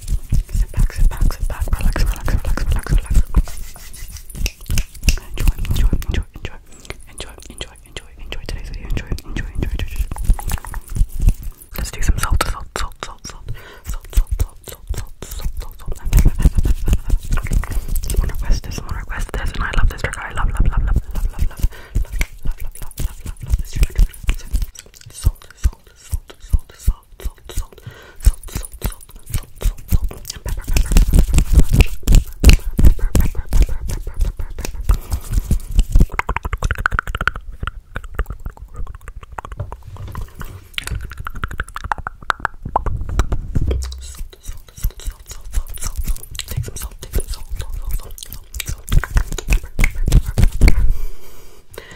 Sit back, sit back, sit back. Relax, relax, relax, relax, relax. Enjoy, enjoy, enjoy, enjoy, enjoy, enjoy, enjoy, enjoy today's video. Enjoy, enjoy, enjoy, enjoy. Let's do some salt, salt, salt, salt, salt, salt, salt, salt, salt, salt, salt, salt. Someone request this, someone request this, and I love this trigger. I love, love, love, love, love, love, love, love, love, love, love, love, love, love this trigger. Salt, salt, salt, salt, salt, salt, salt, salt, salt, salt, salt, salt, salt, and pepper, pepper, pepper, pepper, pepper, pepper, pepper, pepper. Salt, salt, salt, salt, salt, salt, salt, salt. Take some salt, take some salt, salt, salt, salt, salt, salt, pepper, pepper, pepper, pepper.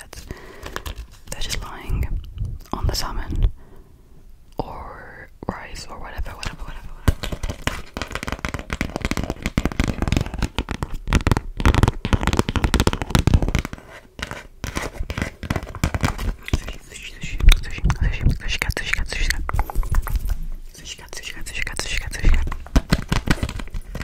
cats. They're just lying on the salmon or rice or whatever, whatever, whatever, whatever.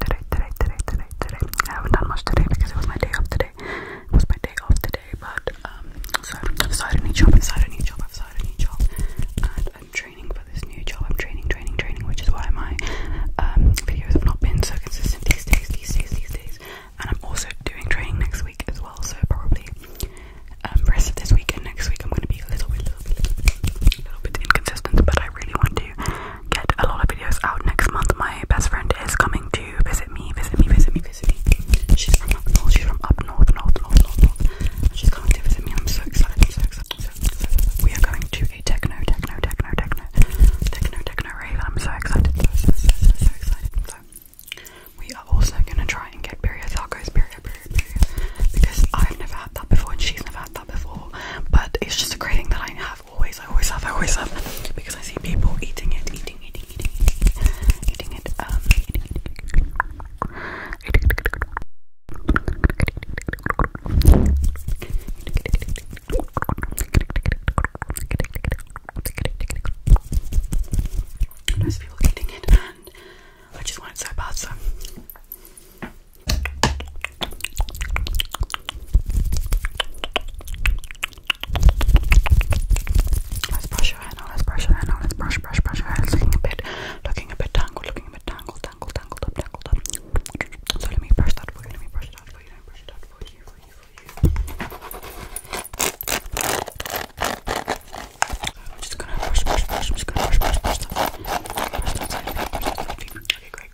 today, today, today, today, today. I haven't done much today because it was my day off today. It was my day off today, but um, so I've started a new job, I've started a new job, I've started a new job, and I'm training for this new job. I'm training, training, training, which is why my um, videos have not been so consistent these days, these days, these days. And I'm also doing training next week as well, so probably rest of this week and next week I'm going to be a little bit, little bit, little little bit inconsistent. But I really want to get a lot of videos out next month. My best friend is coming to visit me, visit me, visit me, visit me. She's from up north, she's from up north, north, north, north, she's coming to visit me. I'm so excited, I'm so excited. So, so, We are going to a techno, techno, techno, techno, techno, techno rave. I'm so excited, so, so, so, so, excited. we are also gonna try and get Birria tacos, Birria, Birria, Birria, because I've never had that before and she's never had that before. But it's just a great thing that I have always, I always have, I always have, because I see people eating it, eating, eating, eating, eating, it, um, eating it. There's people eating it, and I just want it so bad, so. Let's brush your hair now. Let's brush your hair now. Let's brush, brush, brush your hair. It's looking a bit, looking a bit tangled, looking a bit tangled, tangled, tangled up, tangled up. So let me brush that for you. Let me brush it out for you. Let me brush it out for you, for you, for you. I'm just gonna brush, brush, brush. I'm just gonna brush, brush, brush. That. Brush that side. Brush that side. Okay, great,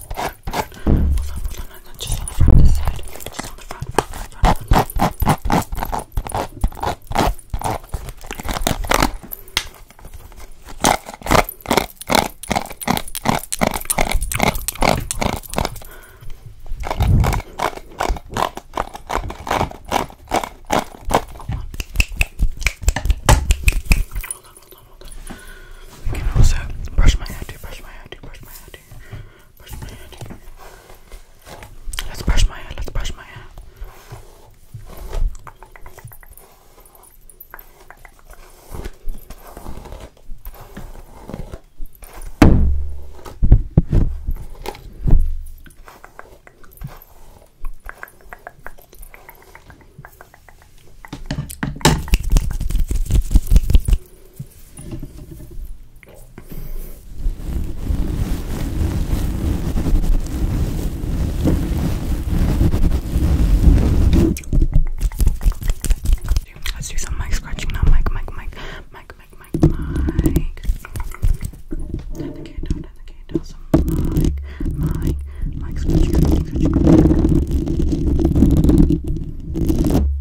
Hold on, hold on, on. Just on the front, side. Just on the front, front, front, Hold on, hold on, hold on. I can also brush my hair too, brush my hair too, brush my hair too. Brush my hair. Let's brush my hair. Let's brush my hair. Let's do some mic scratching now. Mic, mic, mic, mic, mic, mic, mic. Turn the candle, turn the candle. Some mic, mic, mic scratching, scratching, scratching.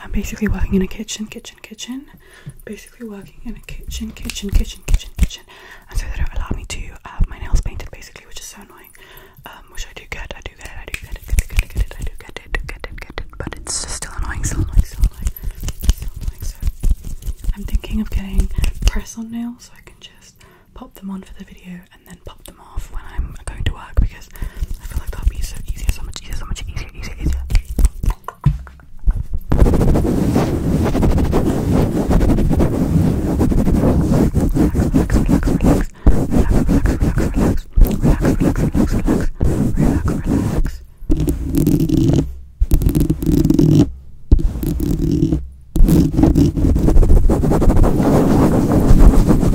I'm basically working in a kitchen, kitchen, kitchen. Basically working in a kitchen, kitchen, kitchen, kitchen, kitchen. And so they don't allow me to have my nails painted basically, which is so annoying. Um, which I do get, I do get it, I do get it, get it, get it, get it, I do get it, do get it, get it. But it's just still annoying, still annoying, still annoying. Still annoying. So I'm thinking of getting press on nails so I can just pop them on for the video and then pop them off when I'm going to work because because I feel like that'll be so easier, so much easier, so much easier, easier, easier. Relax, relax, relax, relax, relax, relax, relax, relax, relax, relax, relax, relax, relax, relax. Relax,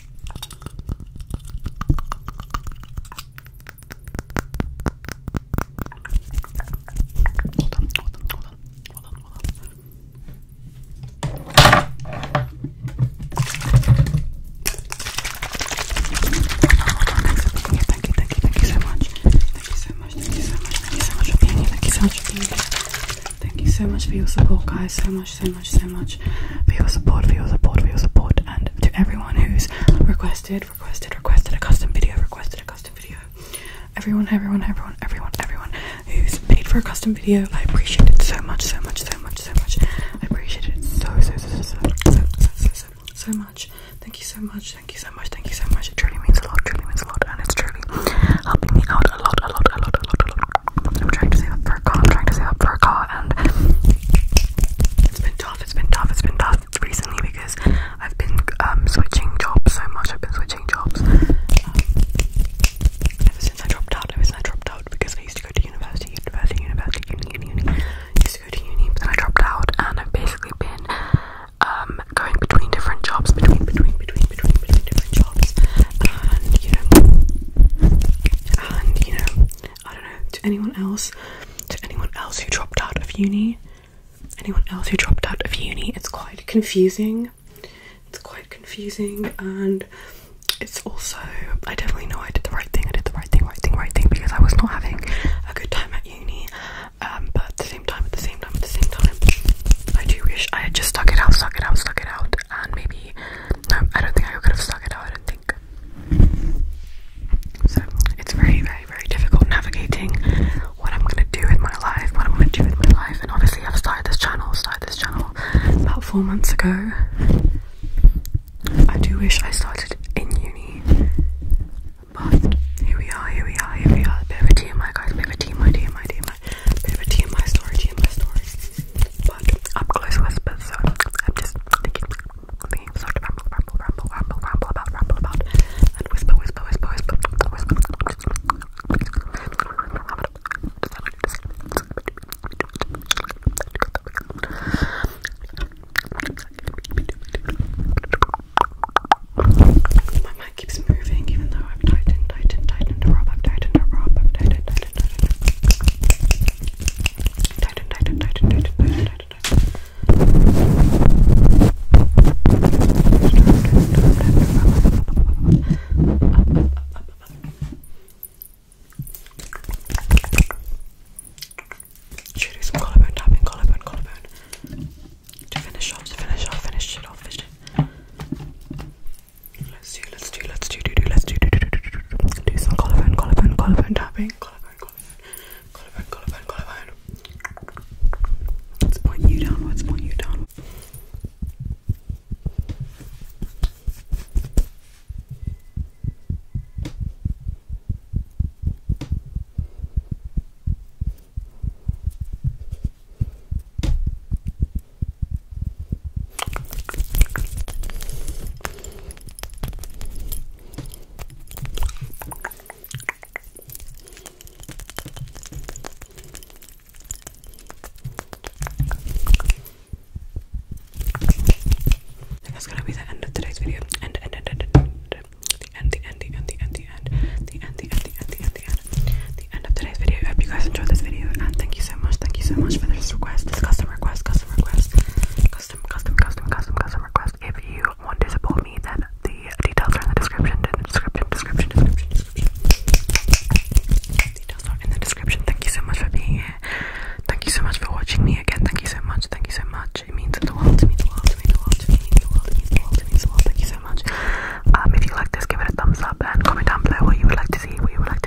muito you muito much muito your support, guys. So much so much, so much for your support, for your support, for your support, and to everyone who's requested, requested, requested a custom video, requested a custom video. Everyone, everyone, everyone, everyone, everyone who's paid for a custom video, I appreciate it so much, so much, so much, so much. I appreciate it so, so, so, so, so much. Thank you so much, thank you so much, thank you so much. It truly means a lot, truly means a lot, and it's truly helping me out a lot, a lot, a lot, a lot, a lot. I'm trying to save up for a car, I'm trying to save up for a car, and it's been tough, it's been tough, it's been tough recently because I've been um, switching jobs so much, I've been switching jobs um, ever since I dropped out, ever since I dropped out because I used to go to university, university, university, uni, uni, uni, I used to go to uni but then I dropped out and I've basically been um, going between different jobs, between, between, between, between, between different jobs and you know, and you know, I don't know, to anyone else, to anyone else who dropped out of uni, anyone else who dropped out of uni, it's quite confusing. It's quite confusing and it's also I definitely know I did the right thing, I did the right thing, right thing, right thing because I was not having a good time at uni. Um, but at the same time, at the same time, at the same time, I do wish I had just stuck it out, stuck it out, stuck it out and maybe I don't think I could have stuck it out. I so it's very, very, very difficult navigating what I'm gonna do with my life, what I'm gonna do with my life, and obviously i started this channel, started this channel about four months ago. I do wish I started in uni, but here we are, here we are, here we are. bit of a TMI, guys, bit of a TMI, TMI, TMI, bit of a TMI story, TMI story. I'm close whisper. so I'm just thinking, thinking sort of ramble, ramble, ramble, ramble, ramble about, ramble about, and whisper, whisper, whisper, whisper, whisper. My mic keeps moving, even though I've tightened, tightened, tightened her up, I've tightened her up, I've tightened, tightened, tightened, tightened. Tighten, tighten, tighten, tighten, tighten, tighten, tighten. Should do some collarbone tapping, collarbone, collarbone. To finish off, to finish off, finish it off, finish it. Let's do let's do, let's do, do, do, let's do, do, do, do, do, do, do, do, do some collarbone, collarbone, collarbone tapping, collarbone, collarbone, collarbone, collarbone, collarbone. Let's point you downwards, point you downwards. Good that's gonna be the end of today's video. End, end, end, end, end, end, the end, the end, the end, the end, the end, the end, the end, the end, the end, the end of today's video. I hope you guys enjoyed this video, and thank you so much, thank you so much for this request, this custom request, custom request, custom custom, custom, custom, custom, request. If you want to support me, then the details are in the description. Description, description, description, Details are in the description. Thank you so much for being here. Thank you so much for watching me again. Thank you so much. Thank you so much. It means the world to me. The world to me. The world to me. The world means the world. It means the world. Thank you so much. Um, if you like this, give it a thumbs up and comment down below what you would like to see. What you would like. to